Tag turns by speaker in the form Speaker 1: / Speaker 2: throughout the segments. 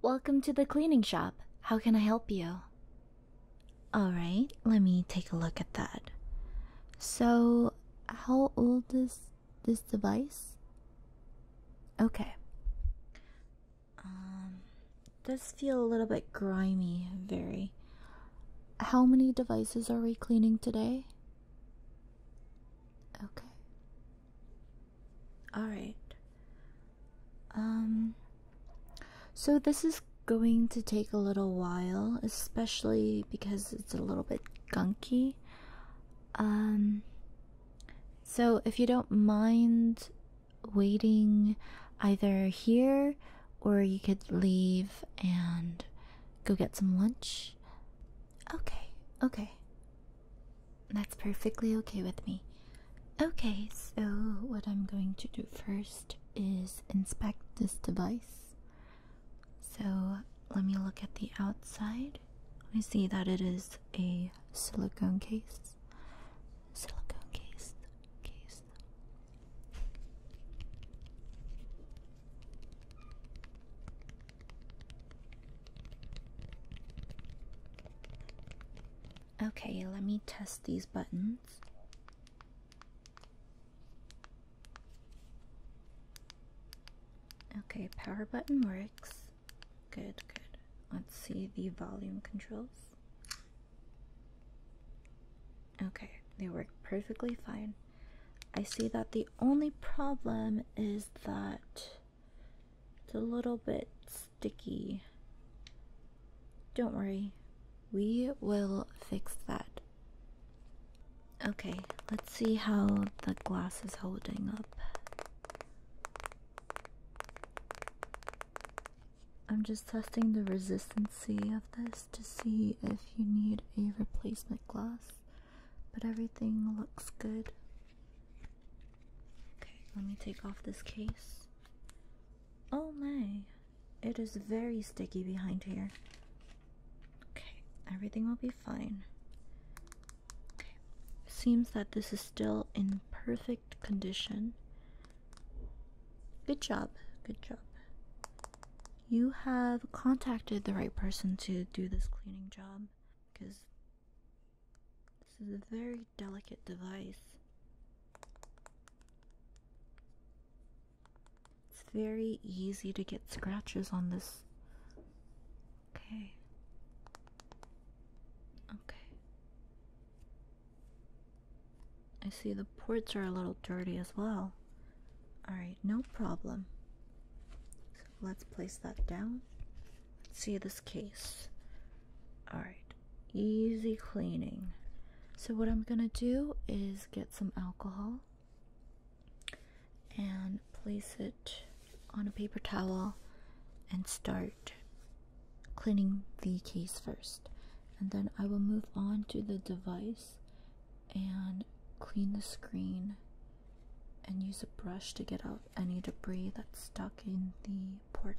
Speaker 1: Welcome to the cleaning shop. How can I help you? Alright, let me take a look at that. So, how old is this device? Okay. Um, does feel a little bit grimy, very. How many devices are we cleaning today? Okay. All right. Um so this is going to take a little while, especially because it's a little bit gunky. Um so if you don't mind waiting either here or you could leave and go get some lunch. Okay. Okay. That's perfectly okay with me. Okay, so what I'm going to do first is inspect this device. So let me look at the outside. I see that it is a silicone case. Silicone case. Case. Okay, let me test these buttons. Okay, power button works. Good, good. Let's see the volume controls. Okay, they work perfectly fine. I see that the only problem is that it's a little bit sticky. Don't worry, we will fix that. Okay, let's see how the glass is holding up. I'm just testing the resistancy of this to see if you need a replacement glass but everything looks good. Okay, let me take off this case. Oh my, it is very sticky behind here. Okay, everything will be fine. Okay, seems that this is still in perfect condition. Good job, good job. You have contacted the right person to do this cleaning job because this is a very delicate device. It's very easy to get scratches on this. Okay. Okay. I see the ports are a little dirty as well. Alright, no problem let's place that down. see this case. Alright, easy cleaning. So, what I'm gonna do is get some alcohol and place it on a paper towel and start cleaning the case first. And then I will move on to the device and clean the screen and use a brush to get out any debris that's stuck in the ports.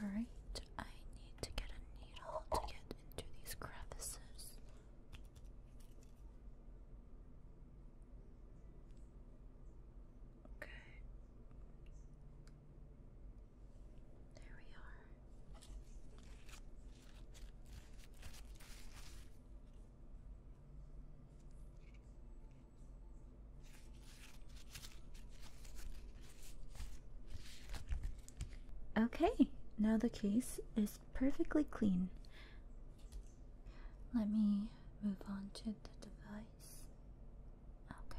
Speaker 1: Alright, I need to get a needle to get into these crevices. Okay. There we are. Okay, now the case is perfectly clean. Let me move on to the device. Okay.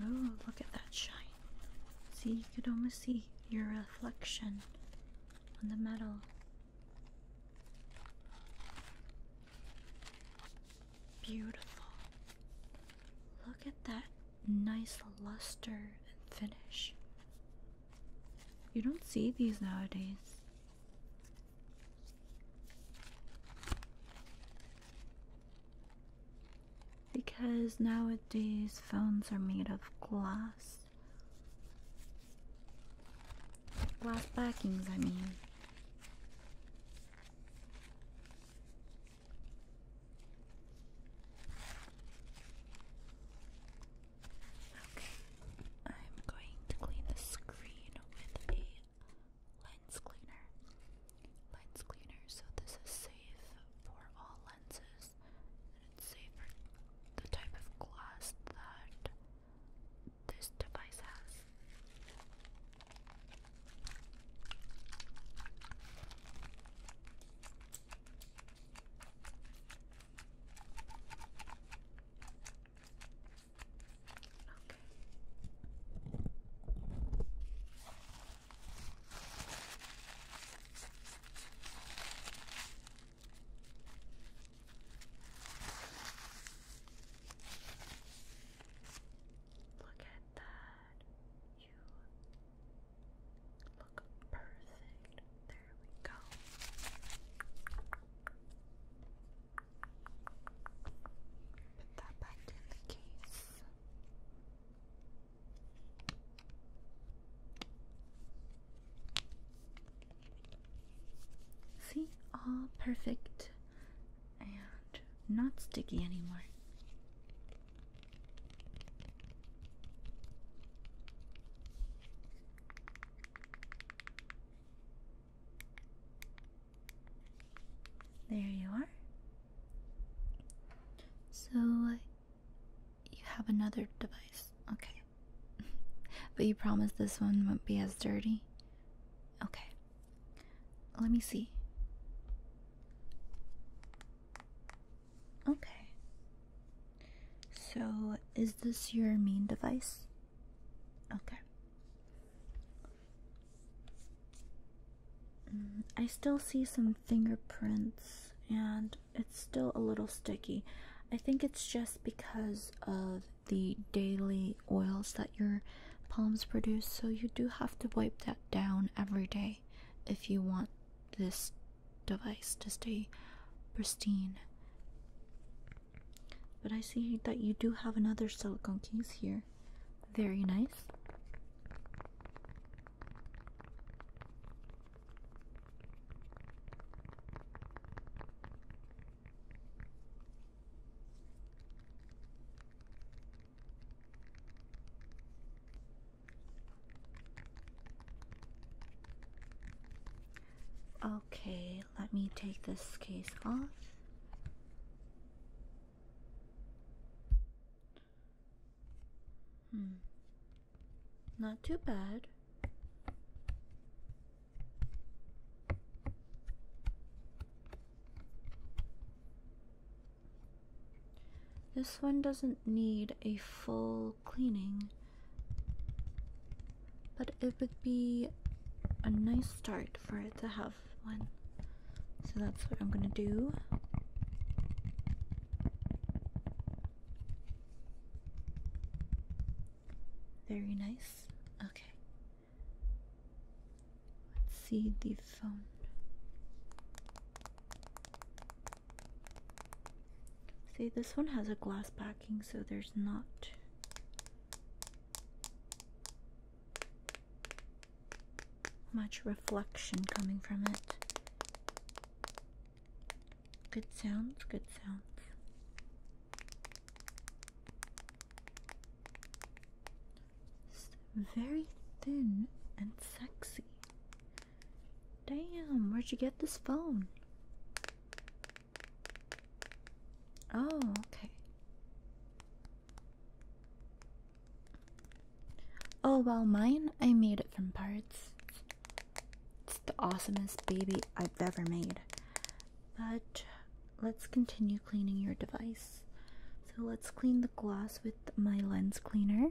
Speaker 1: Oh, look at that shine. See, you could almost see your reflection on the metal. Beautiful. Look at that nice luster and finish. You don't see these nowadays. Because nowadays phones are made of glass. Glass backings, I mean. Okay, I'm going to clean the screen with a lens cleaner. Lens cleaner, so this is safe for all lenses, and it's safe the type of glass that this device has. Look at that. You look perfect. There we go. Put that back in the case. See, all perfect and not sticky anymore. There you are. So, you have another device. Okay. but you promised this one won't be as dirty? Okay. Let me see. Okay. So, is this your main device? Okay. Mm, I still see some fingerprints and it's still a little sticky. I think it's just because of the daily oils that your palms produce, so you do have to wipe that down every day if you want this device to stay pristine. But I see that you do have another silicone case here. Very nice. Okay, let me take this case off. Hmm. Not too bad. This one doesn't need a full cleaning but it would be a nice start for it to have one. So that's what I'm gonna do. Very nice. Okay. Let's see the phone. See, this one has a glass backing, so there's not much reflection coming from it. Good sounds, good sounds. Very thin and sexy. Damn, where'd you get this phone? Oh, okay. Oh, well, mine, I made it from parts. It's the awesomest baby I've ever made. But let's continue cleaning your device. So let's clean the glass with my lens cleaner.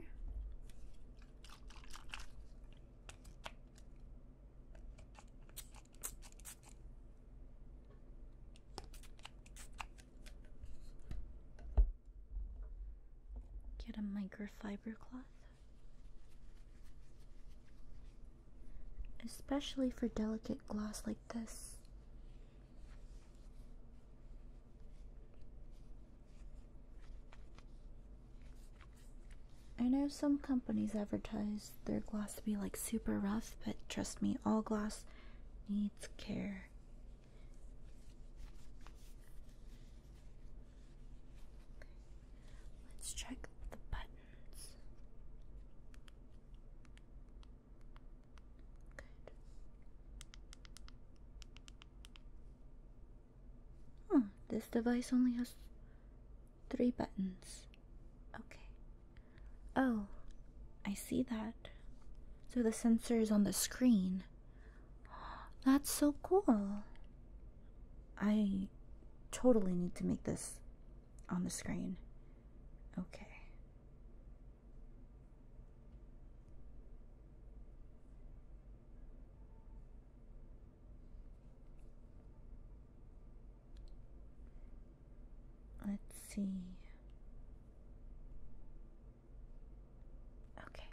Speaker 1: Get a microfiber cloth. Especially for delicate glass like this. I know some companies advertise their gloss to be like super rough, but trust me, all gloss needs care. Let's check the buttons. Good. this device only has Three buttons. Okay. Oh, I see that. So the sensor is on the screen. That's so cool. I totally need to make this on the screen. Okay. Let's see. Okay.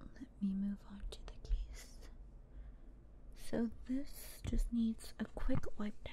Speaker 1: Let me move on to the case. So this just needs a quick wipe down.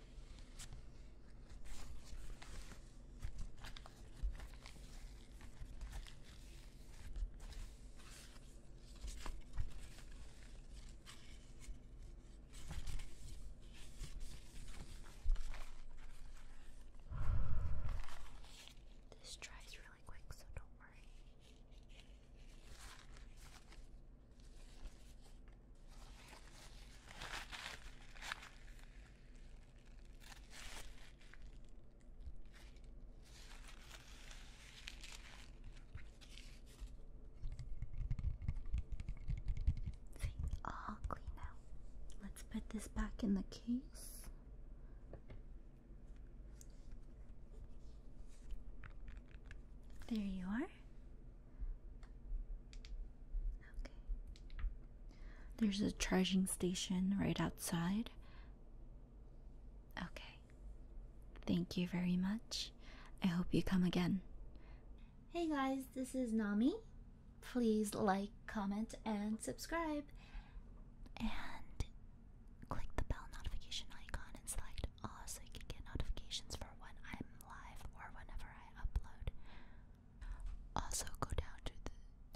Speaker 1: This dries really quick, so don't worry. See, all clean out. Let's put this back in the case. There you are. Okay. There's a charging station right outside. Okay. Thank you very much. I hope you come again. Hey guys, this is Nami. Please like, comment, and subscribe. And click the bell notification icon and select all so you can get notifications for when I'm live or whenever I upload. Also, go down to the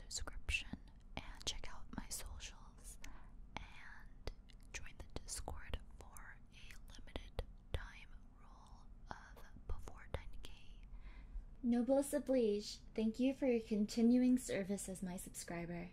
Speaker 1: description and check out my socials and join the Discord for a limited time rule of before 10k. Noblesse oblige, thank you for your continuing service as my subscriber.